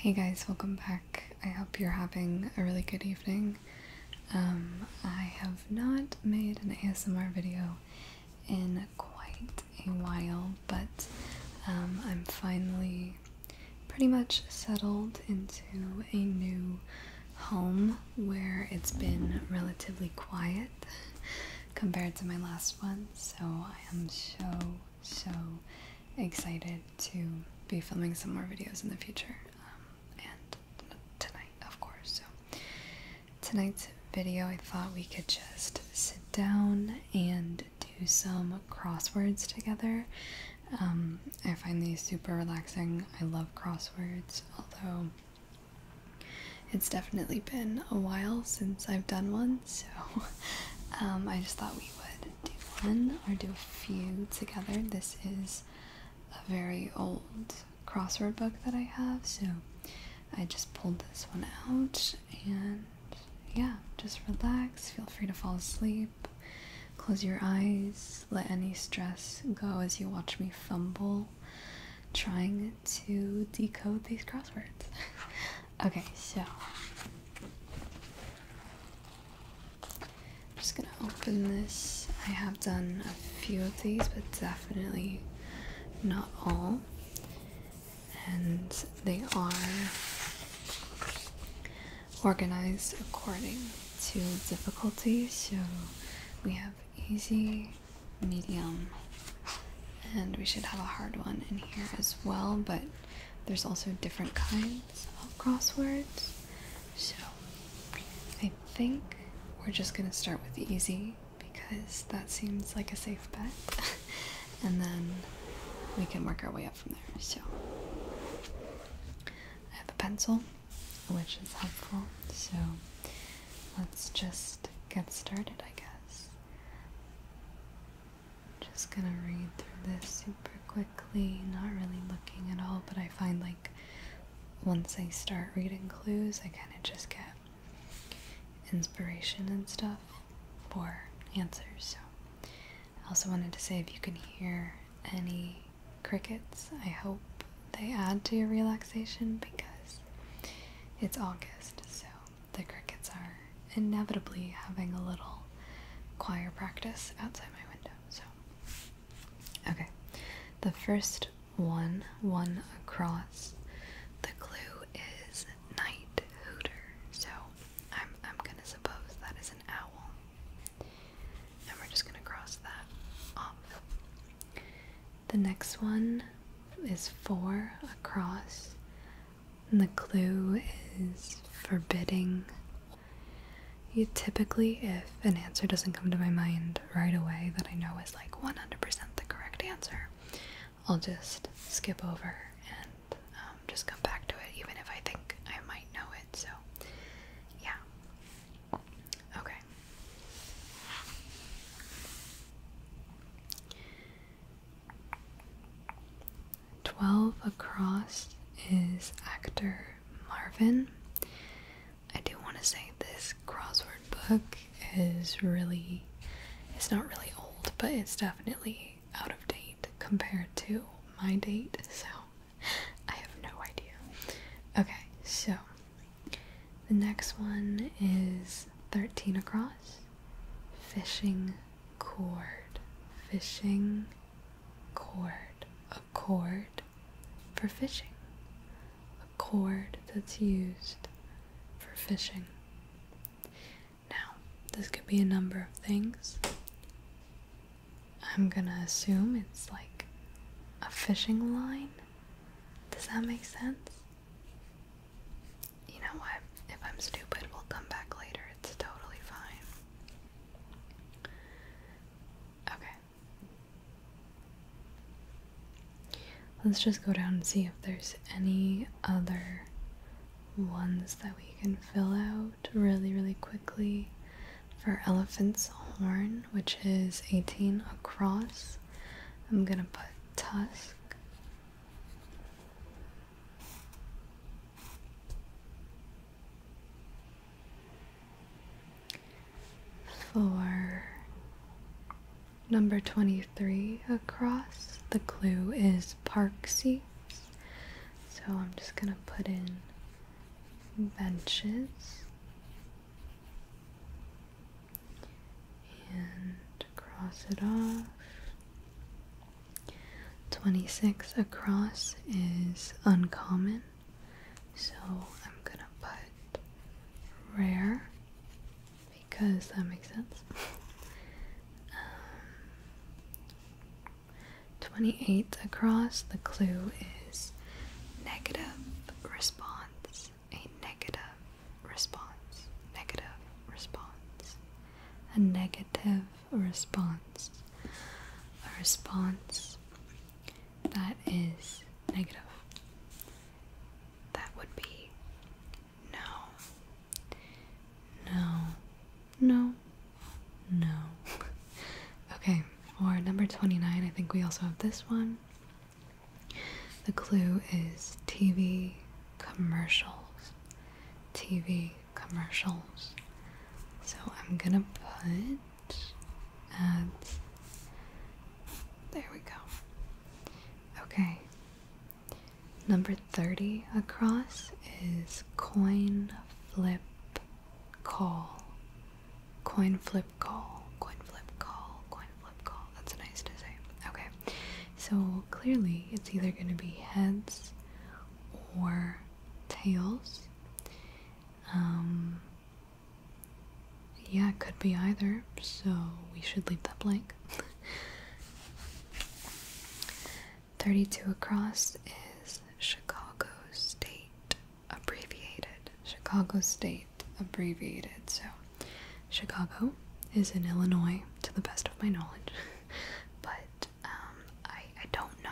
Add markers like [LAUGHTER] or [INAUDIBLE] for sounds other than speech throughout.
Hey guys, welcome back. I hope you're having a really good evening. Um, I have not made an ASMR video in quite a while, but um, I'm finally pretty much settled into a new home where it's been relatively quiet compared to my last one. So I am so, so excited to be filming some more videos in the future. Um, and tonight, of course. So tonight's video, I thought we could just sit down and do some crosswords together. Um, I find these super relaxing. I love crosswords, although it's definitely been a while since I've done one, so [LAUGHS] um, I just thought we would do one or do a few together. This is a very old crossword book that I have, so I just pulled this one out and yeah, just relax. Feel free to fall asleep. Close your eyes. Let any stress go as you watch me fumble trying to decode these crosswords. [LAUGHS] Okay, so I'm just gonna open this. I have done a few of these, but definitely not all. And they are organized according to difficulty. So we have easy, medium, and we should have a hard one in here as well, but there's also different kinds of crosswords. So I think we're just gonna start with easy because that seems like a safe bet. [LAUGHS] and then we can work our way up from there. So I have a pencil, which is helpful. So let's just get started, I guess. Just gonna read through this super quickly, not really looking at all, but I find like once I start reading clues, I kind of just get inspiration and stuff for answers. So, I also wanted to say if you can hear any crickets, I hope they add to your relaxation because it's August, so the crickets are inevitably having a little choir practice outside my window. So, okay, the first one, one across. The clue is night hooter. So, I'm I'm gonna suppose that is an owl, and we're just gonna cross that off. The next one is four across and the clue is forbidding. You typically, if an answer doesn't come to my mind right away that I know is like 100% the correct answer, I'll just skip over and um, just come back to it, even if I think I might know it. So, yeah. Okay. 12 across is actor Marvin. I do want to say this crossword book is really, it's not really old, but it's definitely out of date compared to my date, so [LAUGHS] I have no idea. Okay, so the next one is 13 across. Fishing cord. Fishing cord. A cord for fishing. A cord that's used for fishing. Now, this could be a number of things. I'm gonna assume it's like a fishing line. Does that make sense? you know what? If I'm stupid, we'll come back later. It's totally fine. Okay. Let's just go down and see if there's any other ones that we can fill out really, really quickly for elephant's horn, which is 18 across. I'm gonna put tusk. For number 23 across, the clue is park seats. So I'm just going to put in benches. And cross it off. 26 across is uncommon, so I'm gonna put rare because that makes sense. Um, 28 across, the clue is negative response, a negative response, negative response a negative response, a response that is negative. That would be no, no, no, no. [LAUGHS] okay, for number 29, I think we also have this one. The clue is TV commercials. TV commercials. So I'm gonna put ads. There we go. Okay. Number 30 across is coin flip call. Coin flip call. Coin flip call. Coin flip call. That's nice to say. Okay. So clearly, it's either going to be heads or tails. Um, yeah, it could be either, so we should leave that blank. [LAUGHS] 32 across is Chicago State abbreviated. Chicago State abbreviated. So, Chicago is in Illinois, to the best of my knowledge, [LAUGHS] but um, I, I don't know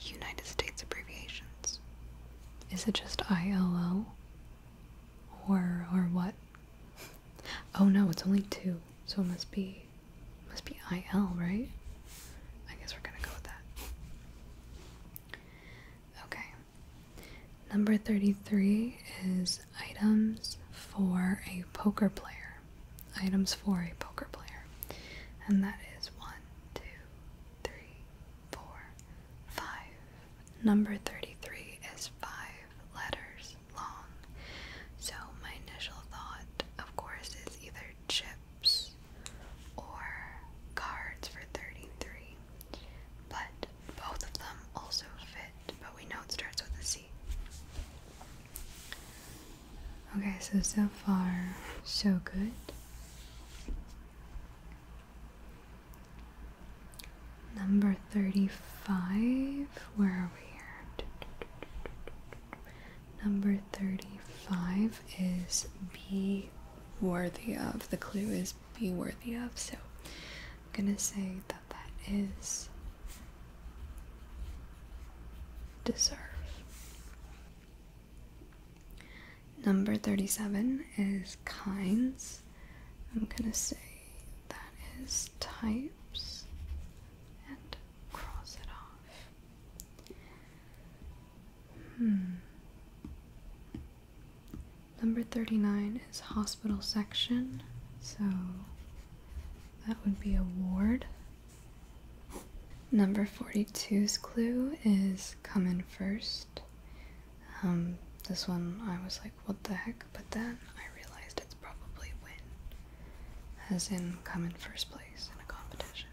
United States abbreviations. Is it just ILO? Or, or what? [LAUGHS] Oh no, it's only two, so it must be, must be IL, right? I guess we're gonna go with that. Okay. Number 33 is items for a poker player items for a poker player, and that is one, two, three, four, five. Number 33 is five letters long, so my initial thought, of course, is either chips or cards for 33, but both of them also fit, but we know it starts with a C. Okay, so so far, so good. Number 35, where are we here? Number 35 is be worthy of. The clue is be worthy of, so I'm gonna say that that is deserve. Number 37 is kinds. I'm going to say that is types and cross it off. Hmm. Number 39 is hospital section, so that would be a ward. Number 42's clue is come in first. Um, this one I was like, what the heck? But then I realized it's probably win, as in come in first place in a competition.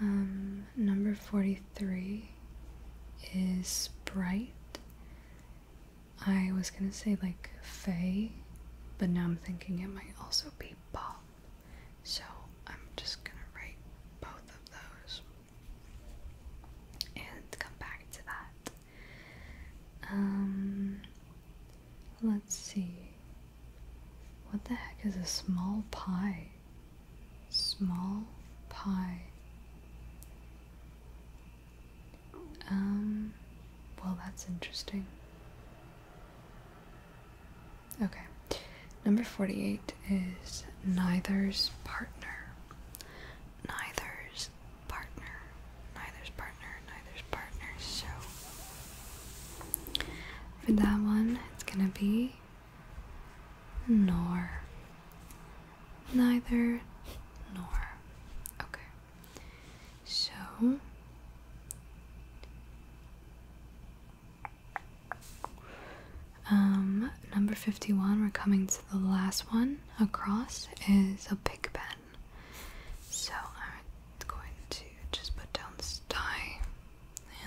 Um, number 43 is bright. I was gonna say like Faye, but now I'm thinking it might also be Bob. So I'm just gonna write both of those and come back to that. Um, let's see. What the heck is a small pie? Small pie. Um, well, that's interesting. Okay. Number 48 is neither's partner. Neither's partner. Neither's partner. Neither's partner. So, for that one, it's gonna be nor. Neither nor. Okay. So um, number 51 we're coming to the last one across is a pig pen. So I'm going to just put down sty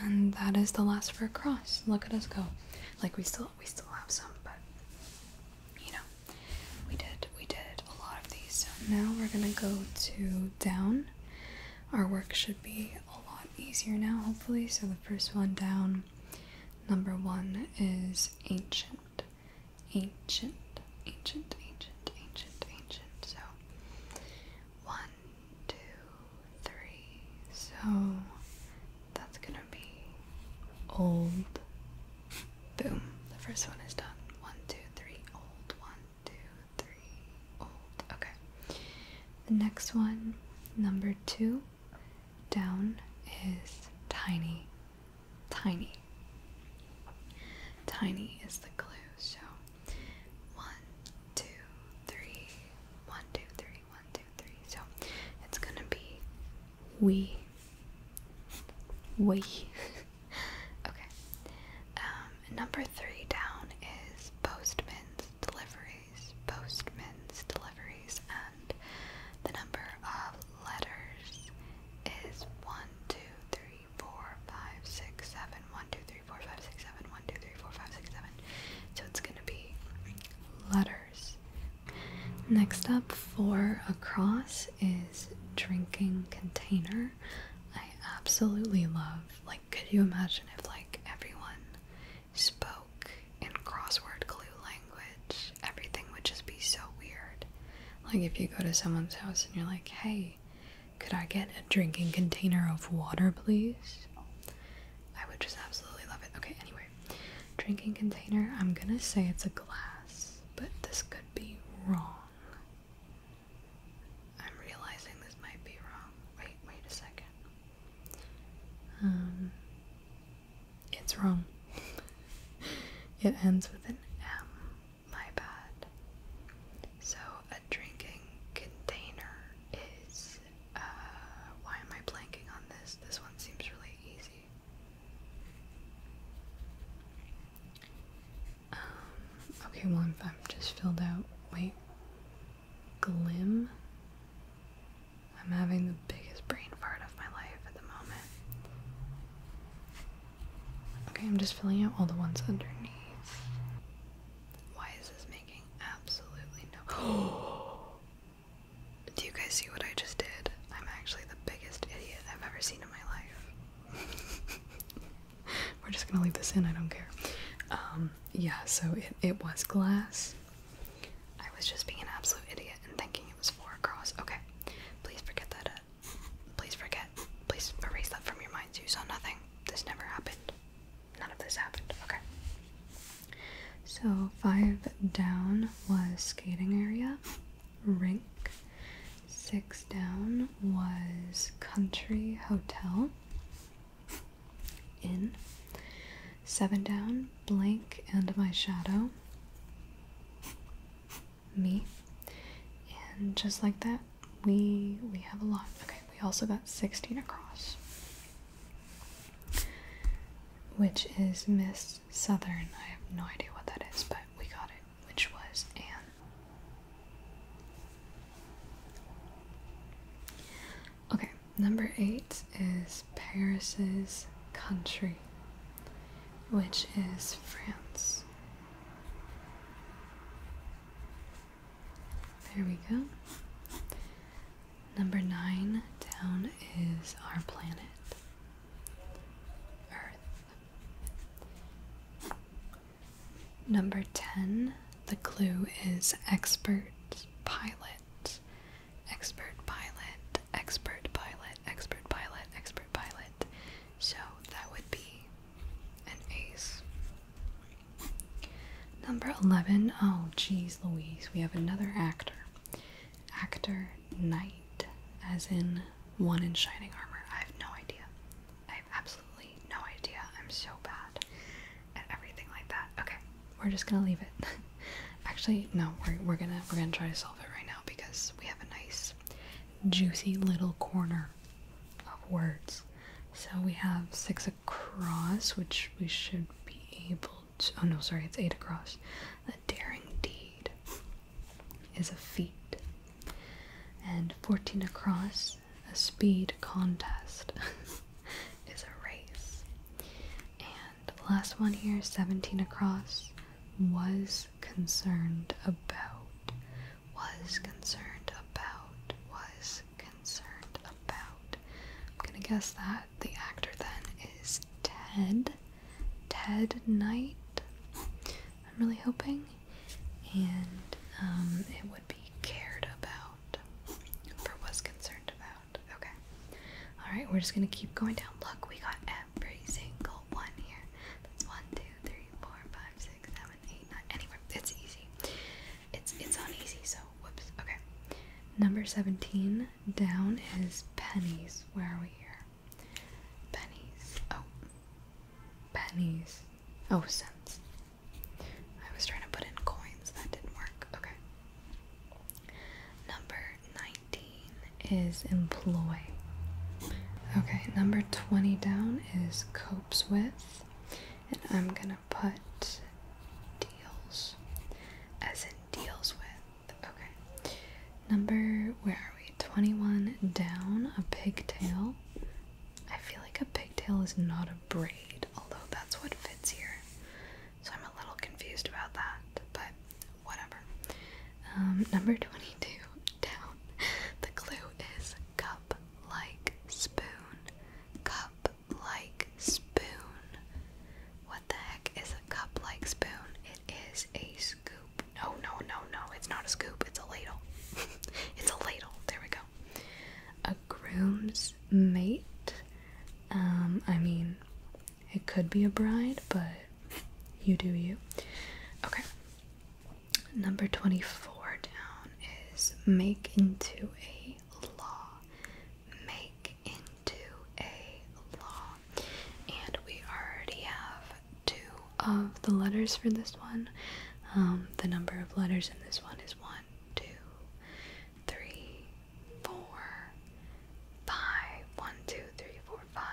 and that is the last for a cross. Look at us go. Like we still we still have some but you know we did we did a lot of these. So now we're gonna go to down. Our work should be a lot easier now, hopefully. So the first one down, number one is ancient, ancient, ancient, ancient, ancient, ancient. So one, two, three. So that's gonna be old, Boom. The first one is done. One, two, three, old. One, two, three, old. Okay. The next one, number two, down is tiny. Tiny. Tiny is the clue. So one, two, three, one, two, three, one, two, three. So it's gonna be we. We. [LAUGHS] [LAUGHS] okay. Um, number three down is postman's deliveries, postman's deliveries, and the number of letters is 1, 2, 3, 4, 5, 6, 7, 1, 2, 3, 4, 5, 6, 7, 1, 2, 3, 4, 5, 6, 7. So it's going to be letters. Next up for across is drinking container. I absolutely love. Like, could you imagine if like everyone spoke in crossword clue language? Everything would just be so weird. Like if you go to someone's house and you're like, "Hey, could I get a drinking container of water, please?" I would just absolutely love it. Okay, anyway. Drinking container, I'm gonna say it's a glass, but this could be wrong. I'm realizing this might be wrong. Wait, wait a second. Um, it's wrong. it ends with an M. My bad. So a drinking container is. Uh, why am I blanking on this? This one seems really easy. Um, okay, well, I'm, I'm just filled out. Wait. Glim? I'm having the biggest brain fart of my life at the moment. Okay, I'm just filling out all the ones underneath. Why is this making absolutely no. [GASPS] Do you guys see what I just did? I'm actually the biggest idiot I've ever seen in my life. [LAUGHS] [LAUGHS] We're just gonna leave this in, I don't care. Um, yeah, so it, it was glass. I was just being an absolute idiot and thinking it was four across. Okay, please forget that. Uh, please forget. Please erase that from your minds. You saw nothing. This never happened. None of this happened. Okay. So, five down was skating area, rink, Six down was Country Hotel In Seven down, Blank and My Shadow. Me. And just like that, we we have a lot. Okay, we also got 16 across. Which is Miss Southern. I have no idea what that is, but we got it which was Anne. Okay, number eight is Paris's country, which is France. There we go. Number nine down is our planet, Earth. Number 10, the clue is expert pilot. Expert pilot, expert pilot, expert pilot, expert pilot. So that would be an ace. Number 11, oh geez Louise, we have another actor. Actor Knight, as in one in shining armor. I have no idea absolutely no idea. I'm so bad at everything like that. Okay, we're just gonna leave it. [LAUGHS] Actually, no, we're we're gonna we're gonna try to solve it right now because we have a nice juicy little corner of words. So we have six across, which we should be able to oh no, sorry, it's eight across. A daring deed is a feat. And fourteen across a speed contest. [LAUGHS] is a race. And the last one here, 17 across, was concerned about, was concerned about, was concerned about. I'm gonna guess that the actor then is Ted, Ted Knight. I'm really hoping, and um, it would be cared about or was concerned about. Okay. Alright, we're just gonna keep going down. Look, we got every single one here. That's one, two, three, four, five, six, seven, eight, nine. Anyway, it's easy. It's it's uneasy, so whoops. Okay. Number 17 down is pennies. Where are we here? Pennies. Oh. Pennies. Oh, cents. I was trying to put in coins, that didn't work. Okay. Number 19 is employ. Okay, number 20 down is copes with. And I'm gonna put deals as in deals with. Okay. Number, where are we? 21 down, a pigtail. I feel like a pigtail is not a braid, although that's what fits here. So I'm a little confused about that, but whatever. Um, number 22 [LAUGHS] down. The clue is cup like spoon. Cup like spoon. What the heck is a cup like spoon? It is a scoop. No, no, no, no. It's not a scoop. It's a ladle. [LAUGHS] it's a ladle. There we go a groom's mate. Um, I mean, it could be a bride, but you do you. Okay. Number 24 down is make into a law. Make into a law. And we already have two of the letters for this one. Um, the number of letters in this one is one, two, three, four, five. One, two, three, four, five.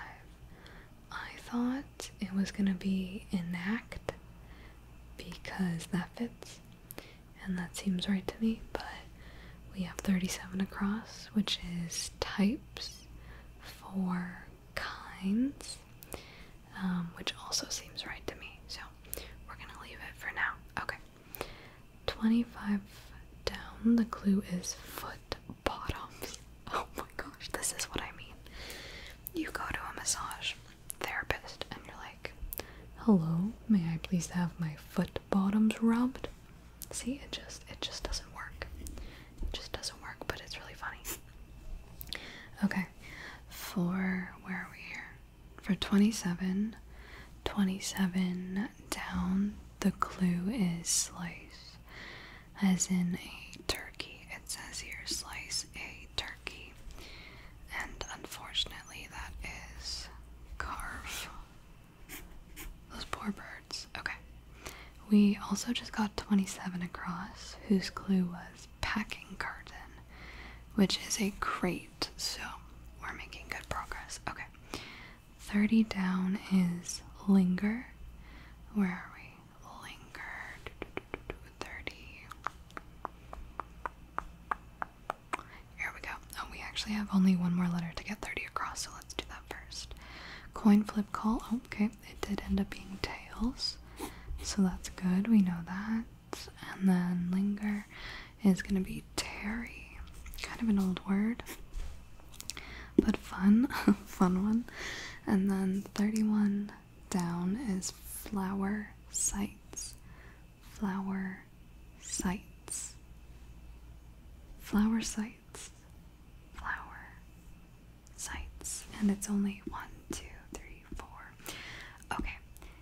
I thought it was gonna be enact because that fits and that seems right to me, but we have 37 across, which is types for kinds, um, which also seems right to me. So we're gonna leave it for now. Okay. 25 down, the clue is foot bottoms. [LAUGHS] Oh my gosh, this is what I mean. You go to a massage therapist and you're like, hello, may I please have my foot bottoms rubbed? See, it just it just doesn't work. It just doesn't work, but it's really funny. Okay, for where are we here? For 27, 27 down, the clue is slice, as in a turkey. It says here slice a turkey, and unfortunately, that is carve. Those poor birds. Okay. We also just got 27 across, whose clue was packing garden, which is a crate, so we're making good progress. Okay. 30 down is linger. Where are we? Linger. 30. Here we go. Oh, we actually have only one more letter to get 30 across, so let's do that first. Coin flip call. Oh, okay, it did end up being tails. So that's good. We know that and then linger is going to be Terry, Kind of an old word, but fun, [LAUGHS] fun one. And then 31 down is flower sights, flower sights, flower sights, flower sights, And it's only one, two, three, Okay,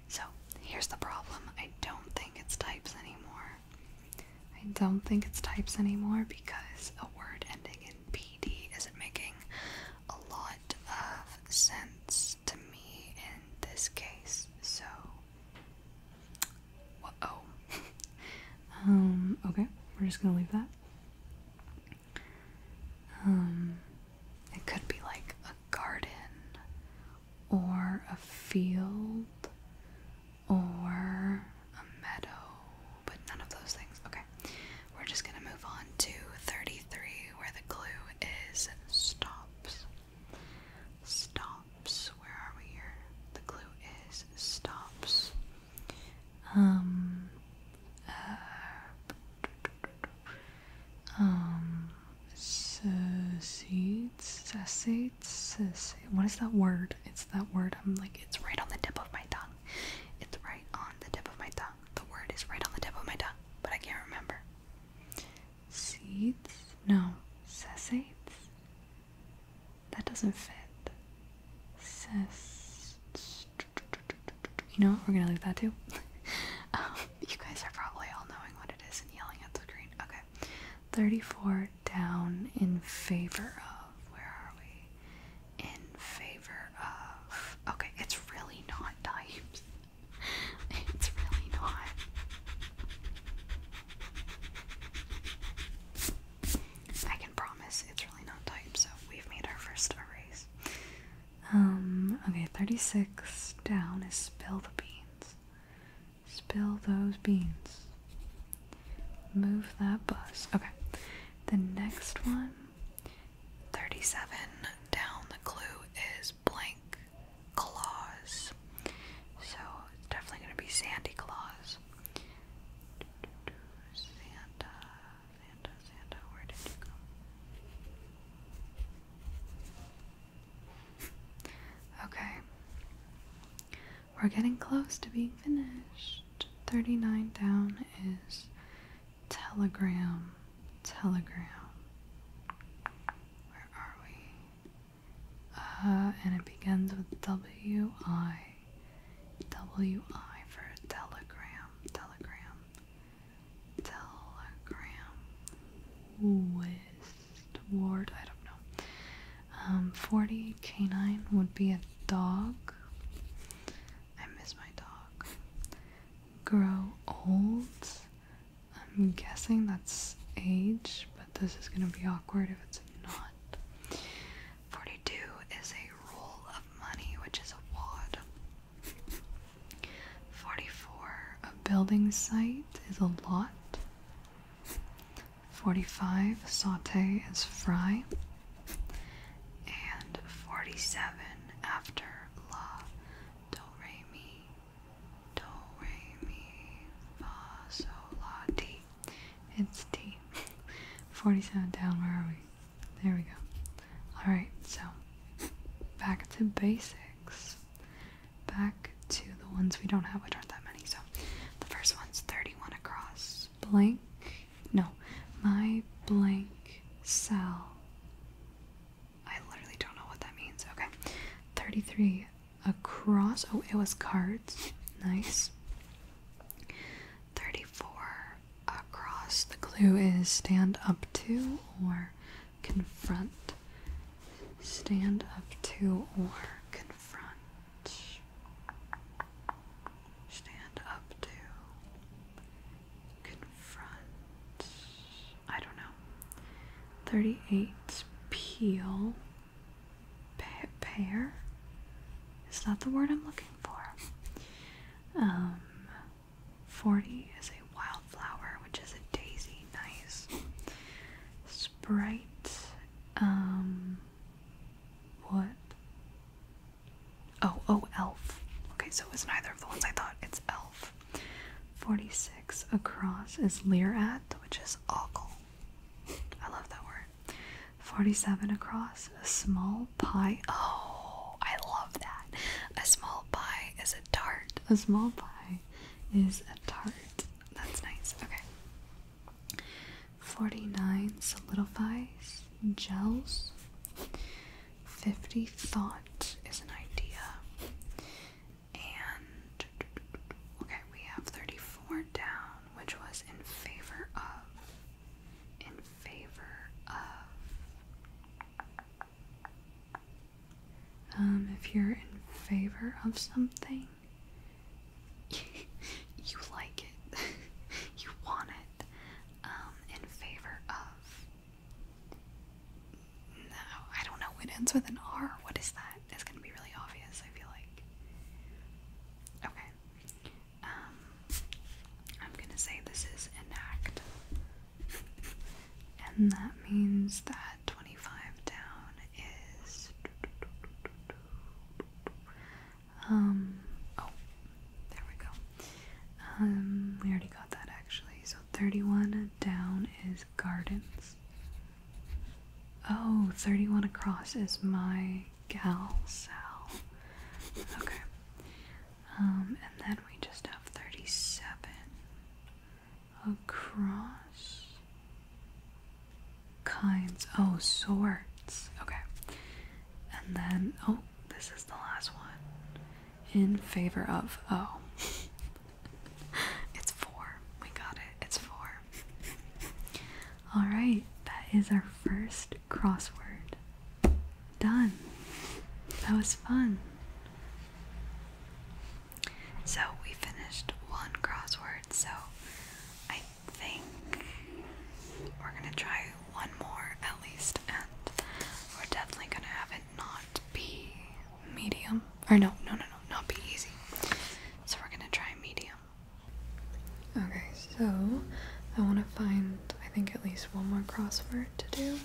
so here's the problem. I don't think it's types anymore. I don't think it's types anymore because a word ending in PD isn't making a lot of sense to me in this case. So, whoa. [LAUGHS] um, okay, we're just gonna leave that. Um, it could be like a garden or a field or a meadow, but none of those things. Okay, we're just gonna move on to 33 where the clue is stops. Stops, where are we here? The clue is stops. Um, uh, um, secedes, secedes, what is that word? It's that word. I'm like, it's right on the tip of my tongue. It's right on the tip of my tongue. The word is right on the tip of my tongue, but I can't remember. Seeds? No, secedes. That doesn't fit. You know what? We're gonna leave that too. [LAUGHS] Um, you guys are probably all knowing what it is and yelling at the screen. Okay. 34 down in favor of. Where are we? In favor of. Okay, it's really not types. [LAUGHS] It's really not. I can promise it's really not types, so we've made our first erase. Um, okay, 36 down is spill the beans. Spill those beans. Move that bus. Okay, the next one, 37 down, the clue is blank claws. So it's definitely going to be Sandy Claus. Santa, Santa, where did you go? Okay. We're getting close to being finished. 39 down is Telegram. Telegram. Where are we? Uh, and it begins with W I. W I for telegram. Telegram telegram west ward, I don't know. Um, 40 canine would be a dog. I miss my dog. Grow old. I'm guessing that's age, but this is gonna be awkward if it's not. 42 is a roll of money, which is a wad. Forty-four, a building site is a lot. Forty-five, saute is fry. And forty-seven, after la, do re mi, do re mi, fa so la ti. It's T. 47 down, where are we? There we go. Alright, so back to basics. Back to the ones we don't have, which aren't that many. So the first one's 31 across. Blank. No. My blank cell. I literally don't know what that means. Okay. 33 across. Oh, it was cards. Nice. 34 across. The clue is stand up to or confront, stand up to, or confront, stand up to, confront. I don't know. 38 peel Pair. is that the word I'm looking for um 40 is a wildflower, which is a daisy. Nice. Sprite. Um. What? Oh, oh, elf. Okay, so it's neither of the ones I thought. It's elf. 46 across is Leerat, which is ogle. I love that word. 47 across, a small pie. Oh, I love that. A small pie is a tart. A small pie is a tart. That's nice. Okay. 49 solidifies gels. 50 thought is an idea. And okay, we have 34 down, which was in favor of in favor of um, if you're in favor of something, [LAUGHS] you like it, [LAUGHS] you want it, um, in favor of. No, I don't know. It ends with an R. What is that? It's gonna be really obvious, I feel like. Okay. Um, I'm gonna say this is enact. [LAUGHS] and that means that 25 down is um oh there we go um we already got that actually so 31 down is gardens oh 31 across is my gal sal okay um and then we just have 37 across kinds. Oh, sorts. Okay. And then, oh, this is the last one. In favor of. Oh. [LAUGHS] it's four. We got it. It's four. Alright, that is our first crossword. Done. That was fun. So we finished one crossword, so I think we're gonna try one more at least, and we're definitely gonna have it not be medium. Or no, no, no, no, not be easy. So we're gonna try medium. Okay, so I wanna find, I think, at least one more crossword to do.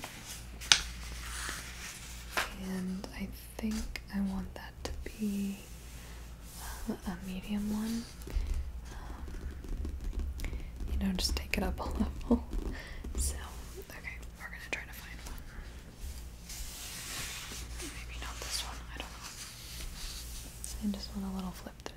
And I think I want that to be uh, a medium one. Um, you know, just take it up a [LAUGHS] level. So, okay, we're gonna try to find one. Maybe not this one, I don't know. I just want a little flip through.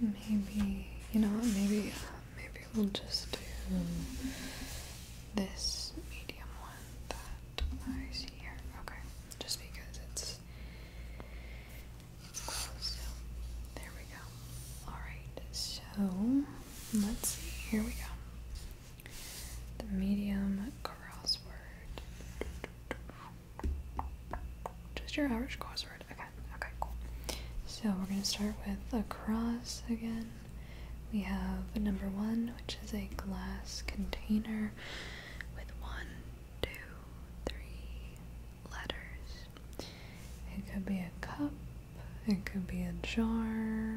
Maybe you know maybe maybe we'll just do this medium one that I see here. Okay, just because it's it's close. there we go. All right, so let's see. Here we go. The medium crossword. Just your Irish crossword. Okay, okay, cool. So we're going to start with a cross again. We have number one, which is a glass container with one, two, three letters. It could be a cup, it could be a jar.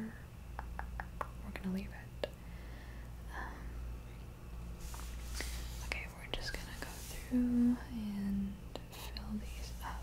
We're going to leave it. Um, okay, we're just gonna go through and fill these up.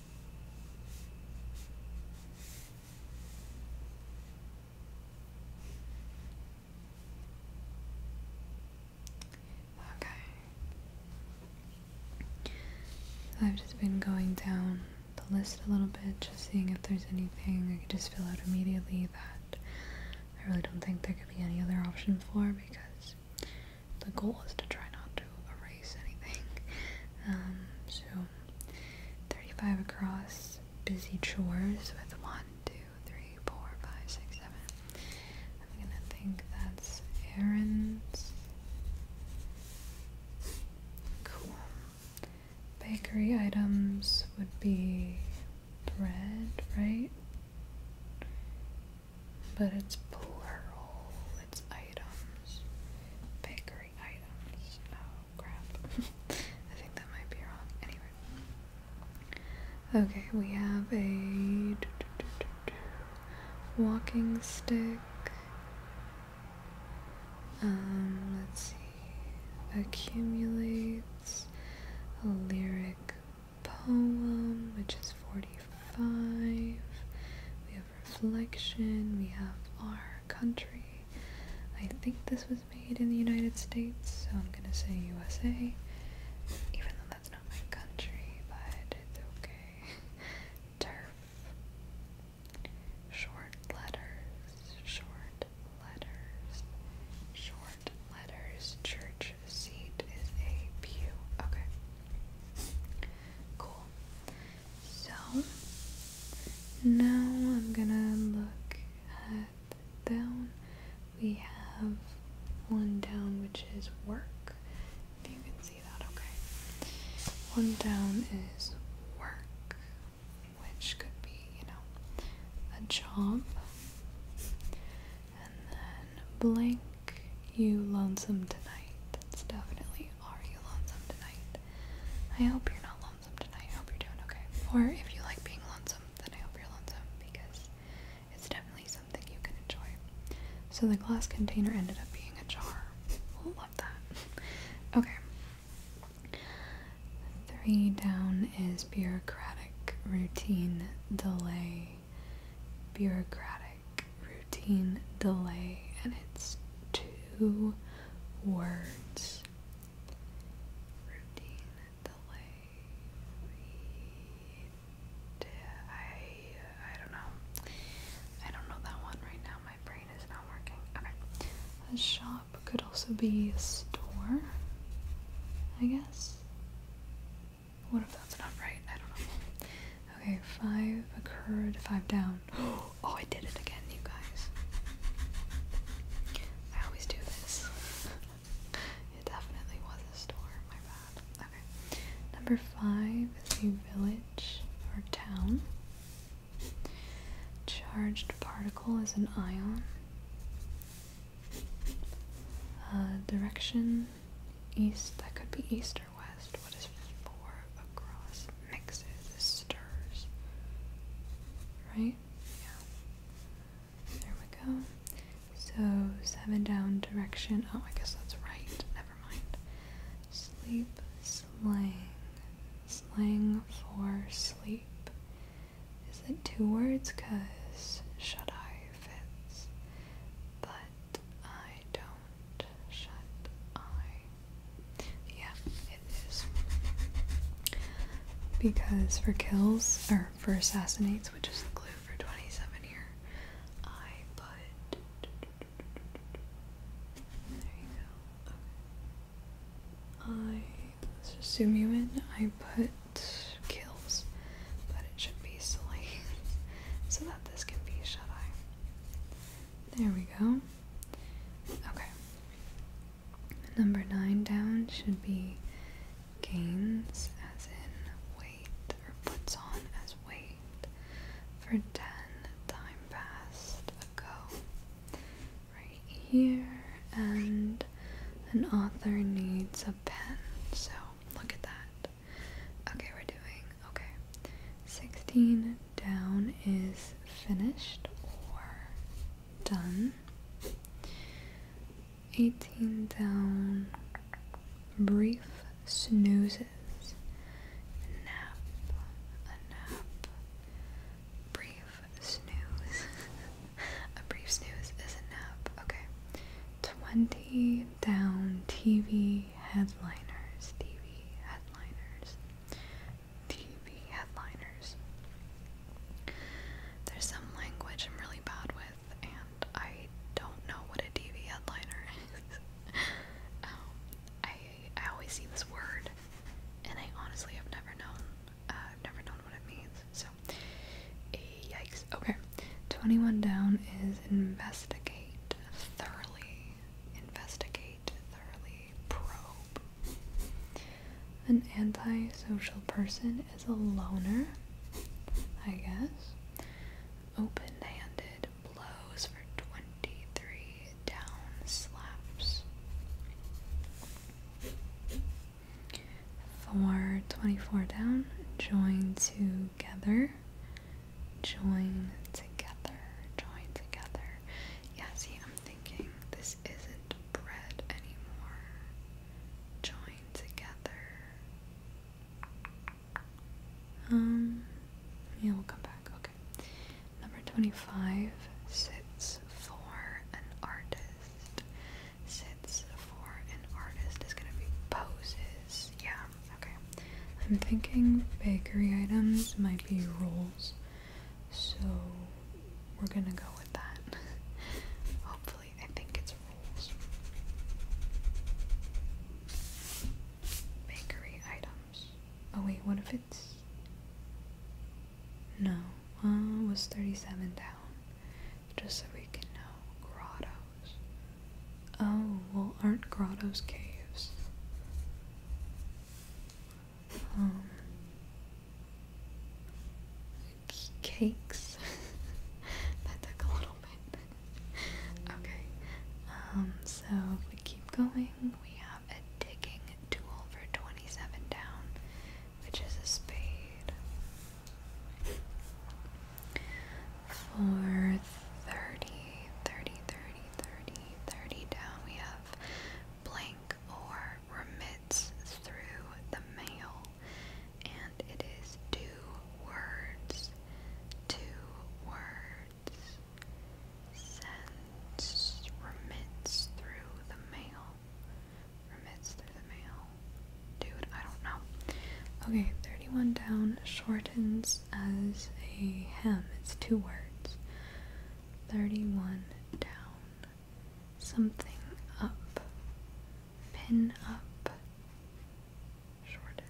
Okay. I've just been going down the list a little bit, just seeing if there's anything I could just fill out immediately that I really don't think there could be any other option for because the goal is to try not to erase anything. Um, so, 35 across, busy chores with one, I'm gonna think that's errands. Cool. Bakery items would be bread, right? But it's plural. It's items. Bakery items. Oh, crap. [LAUGHS] I think that might be wrong. Anyway. Okay, we have a [LAUGHS] walking stick. Um, let's see. Accumulates a lyric poem, which is 40 five. We have reflection. We have our country. I think this was made in the United States, so I'm gonna say USA. Even though that's not my country, but it's okay. [LAUGHS] Turf. Short letters. Short letters. Short letters. Church seat is a pew. Okay. Cool. So now I'm gonna look at down. We have one down, which is work. If you can see that, okay. One down is work, which could be, you know, a job. And then blank you lonesome tonight. That's definitely are you lonesome tonight. I hope you're not lonesome tonight. I hope you're doing okay. Or if you like being lonesome, then I hope you're lonesome because it's definitely something you can enjoy. So the glass container ended up being a jar. love that. [LAUGHS] Okay. Three down is bureaucratic routine delay. Bureaucratic routine delay and it's two words. Routine delay. I I don't know. I don't know that one right now. My brain is not working. Okay. A shop could also be a store, I guess. What if that's not right? I don't know. Okay, five occurred, five down. [GASPS] Oh, I did it again, you guys. I always do this. [LAUGHS] it definitely was a store, my bad. Okay. Number five is a village or town. Charged particle is an ion. Uh, direction east, that could be east or west, what is four across? Mixes, stirs. Right? Yeah. There we go. So, seven down direction. Oh, I guess that's right. Never mind. Sleep, slang. Slang for sleep. Is it two words? Because shut eye fits. But Shut don't. Shut eye. Yeah, it is. Because for kills, or for assassinates, which is the clue for 27 here, I put. There you go. Okay. I. Let's just zoom you in. I put kills, but it should be silly [LAUGHS] so that this can be shut eye. There we go. Okay. Number nine down should be gains as in weight or puts on as weight for 10 time passed ago. Right here, and an author needs a pen, so look at that. Okay, we're doing okay. 16 down is finished or done. 18 down, brief snoozes, nap, a nap, brief snooze. [LAUGHS] a brief snooze is a nap, okay. 20 down, TV, headliners, TV headliners, TV headliners. There's some language I'm really bad with, and I don't know what a TV headliner [LAUGHS] is. Um, I I always see this word, and I honestly have never known. Uh, I've never known what it means. So, eh, yikes. Okay, twenty-one down is investigate thoroughly. Investigate thoroughly probe. An antisocial person is a loner, I guess. Open handed blows for 23 down slaps. For 24 down, join together. Join together. Join together. Yeah, see, I'm thinking this isn't bread anymore. Join together. Um, yeah, we'll come back. Okay. Number 25 sits for an artist. Sits for an artist is going to be poses. Yeah okay. I'm thinking bakery items might be rolls, so we're gonna go with that. [LAUGHS] Hopefully, I think it's rolls. Bakery items. Oh, wait, what if it's. No, uh, was 37 down? Just so we can know. Grottos. Oh, well, aren't grottos caves? Um, cakes. [LAUGHS] that took a little bit. okay, um, so if we keep going, we have a digging tool for 27 down, which is a spade. For 30, 30, down we have blank or remits through the mail. And it is two words, two words. Sends remits through the mail. Remits through the mail. Dude, I don't know. Okay, 31 down shortens as a hem. It's two words. 31 down, something up, pin up, shorted.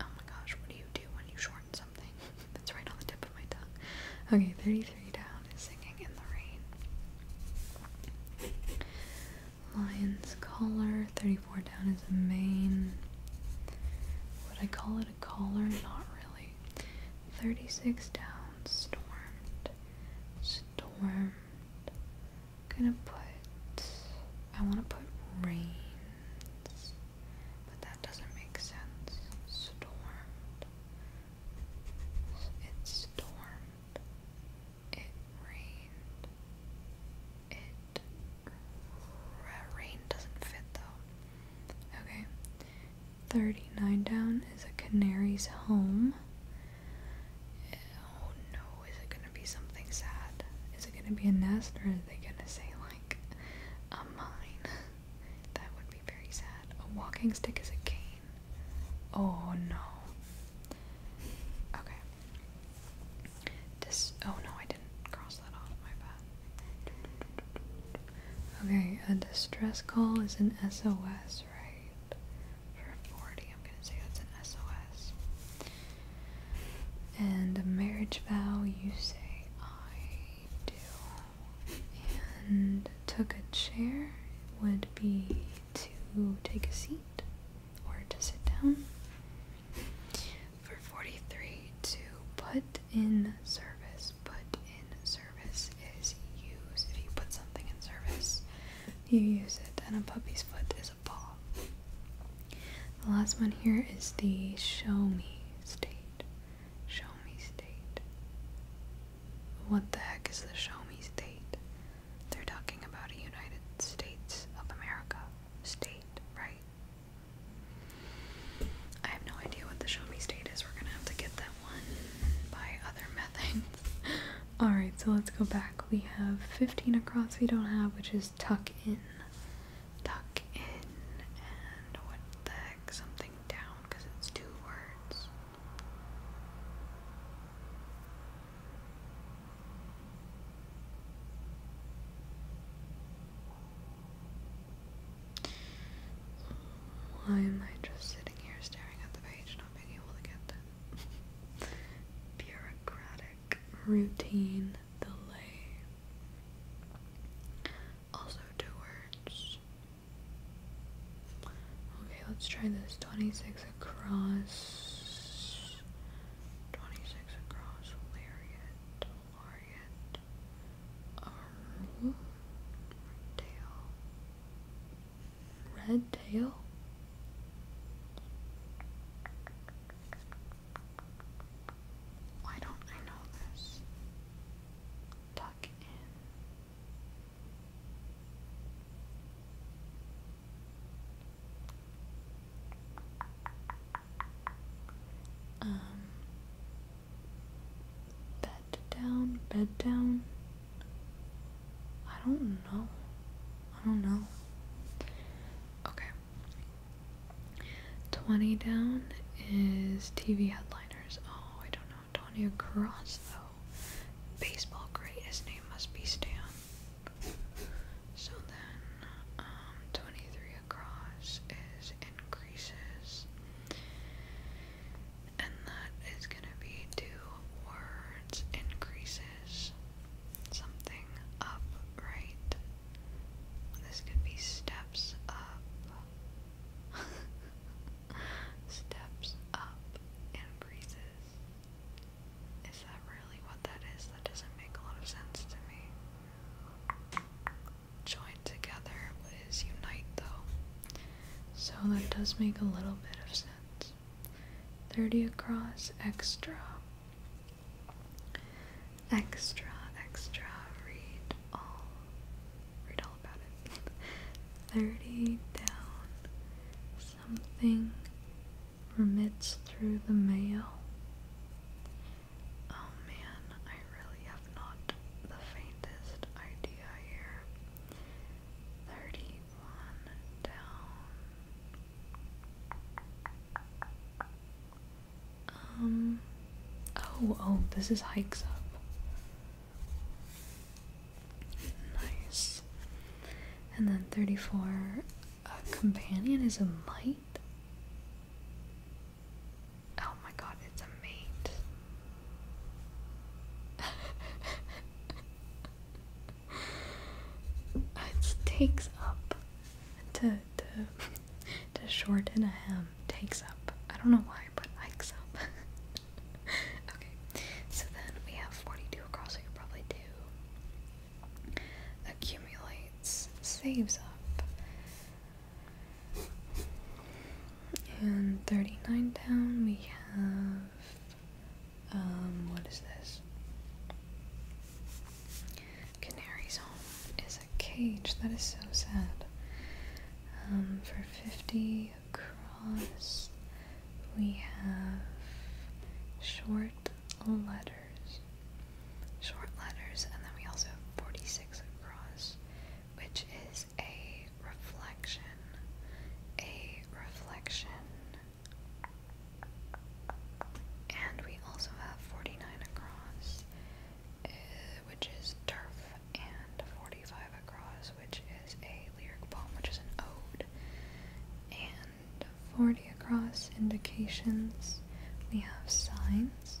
Oh my gosh, what do you do when you shorten something? [LAUGHS] That's right on the tip of my tongue. Okay, 33 down is singing in the rain. Lion's collar, 34 down is a mane. Would I call it but a not really. 36 down, stormed, stormed. i gonna put, I wanna put rain, but that doesn't make sense. Stormed, it stormed, it rained, it, rain doesn't fit though. Okay. 39 down is a canary's home. Oh no, is it gonna be something sad? Is it gonna be a nest or are they gonna say like a mine? [LAUGHS] that would be very sad. A walking stick is a cane. Oh no. Okay. Dis- oh no, I didn't cross that off, my bad. Okay, a distress call is an SOS, right? For 40, I'm gonna say that's an SOS. And a marriage vow, you say, I do. And took a chair would be to take a seat or to sit down for 43 to put in service. Put in service is use. If you put something in service, you use it. And a puppy's foot is a paw. The last one here is the show me state. Show me state. What the heck is the show me state? They're talking about a United States of America state, right? I have no idea what the show me state We're gonna have to get that one by other methods. [LAUGHS] Alright, so let's go back. We have 15 across we don't have, which is tuck in. Tuck in and what the heck? Something down because it's two words. Why am I just sitting here staring at the page, not being able to get that? [LAUGHS] Bureaucratic routine delay. Also, two words. Okay, let's try this. 26 across. 26 across. Lariat. Lariat. Um, red tail. Red tail? Why don't I know this? Tuck in. Um, Bed down, bed down. I don't know. I don't know. Okay. 20 down is TV headliners. Oh, I don't know. Tony across, though. Baseball great. His name must be Stan. So then, um, 23 across is increases, and that is going to be two words increases something up, right? This could be steps up, [LAUGHS] steps up, increases. Is that really what that is? That doesn't make a lot of sense to me join together is unite, though. So that does make a little bit of sense. 30 across, extra. Extra, extra. Read all. Read all about it. [LAUGHS] 30 down. Something remits through the mail. Oh man, I really have not the faintest idea here. 31 down. Um, oh, oh, this is hikes up. Nice. And then 34, a companion is a mite? Oh my god, it's a mate. it takes up to to to shorten a hem takes up. I don't know why, but hikes up. [LAUGHS] okay. So then we have forty-two across, I could probably do accumulates, saves up. And 39 down, we have, um, what is this? Canaries home is a cage. That is so sad. Um, for 50 across, we have short letters. Short letters, and then we also have 46 across which is a reflection, a reflection. And we also have 49 across, uh, which is turf, and 45 across, which is a lyric poem, which is an ode. And 40 across indications, we have signs.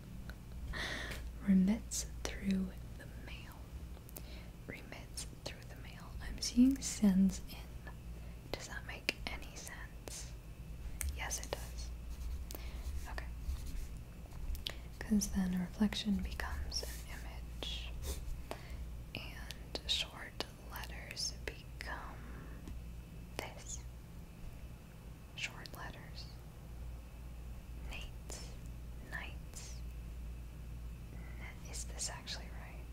Remits through the mail. Remits through the mail. I'm seeing sends in. Does that make any sense? Yes, it does. Okay. Because then a reflection becomes an image. And short letters become this short letters. Nates, nights. Is this actually right?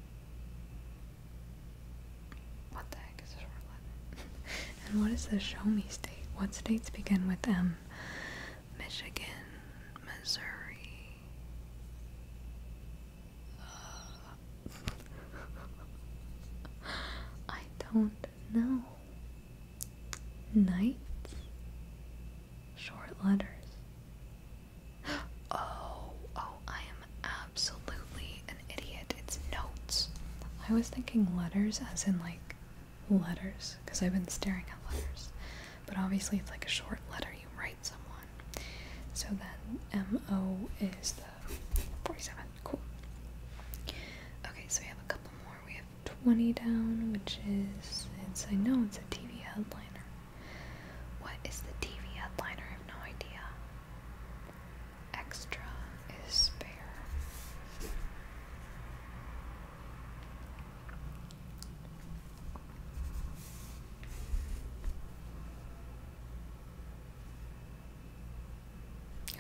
What the heck is a short letter? [LAUGHS] and what is the show me state? What states begin with M? Michigan, Missouri. Uh, [LAUGHS] I don't no. Knights? Short letters. [GASPS] Oh, oh, I am absolutely an idiot. It's notes. I was thinking letters as in like letters, because I've been staring at letters. But obviously, it's like a short letter you write someone. So then MO is the 47. Cool. Okay, so we have a couple more. We have 20 down, which is, it's, I know it's a TV headliner. What is the TV headliner? I have no idea. Extra is spare.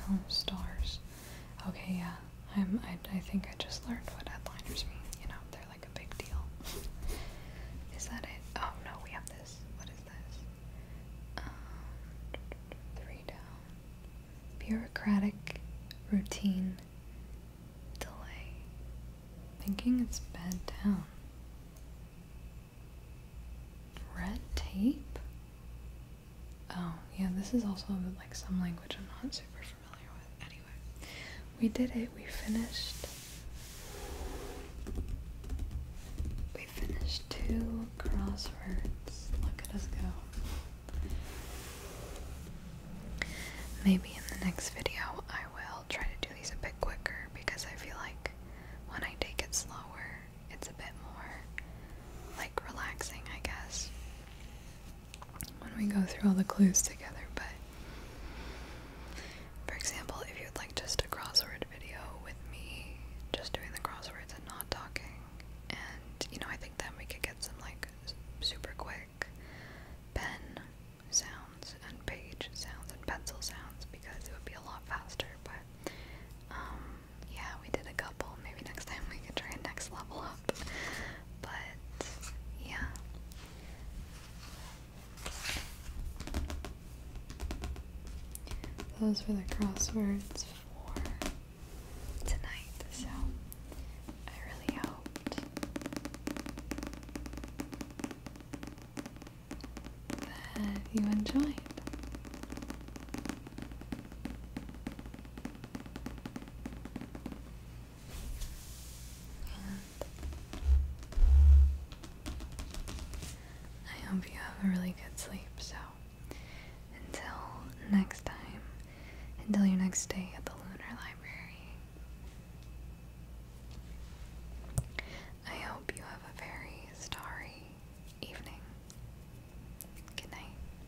Oh, stars. Okay, yeah. I'm, I, I think I just learned what headliners mean. You know, they're like a big deal. is that it? Oh no, we have this. What is this? Uh, three down. Bureaucratic routine delay. Thinking it's bed down. Red tape? Oh, yeah, this is also like some language I'm not super familiar with. Anyway, we did it. We finished. We finished two crosswords. Look at us go. Maybe in the next video I will try to do these a bit quicker because I feel like when I take it slower, it's a bit more like relaxing, I guess when we go through all the clues together, but for example, if you'd like just a crossword video with me just doing the crosswords and not talking, and you know, I think then we could get some like super quick pen sounds and page sounds and pencil sounds because it would be a lot faster, but um, yeah, we did a couple. Maybe next time we can try a next level up. But yeah. Those were the crosswords for tonight, so I really hoped that you enjoyed. I hope you have a really good sleep. So, until next time, until your next day at the Lunar Library, I hope you have a very starry evening. Good night.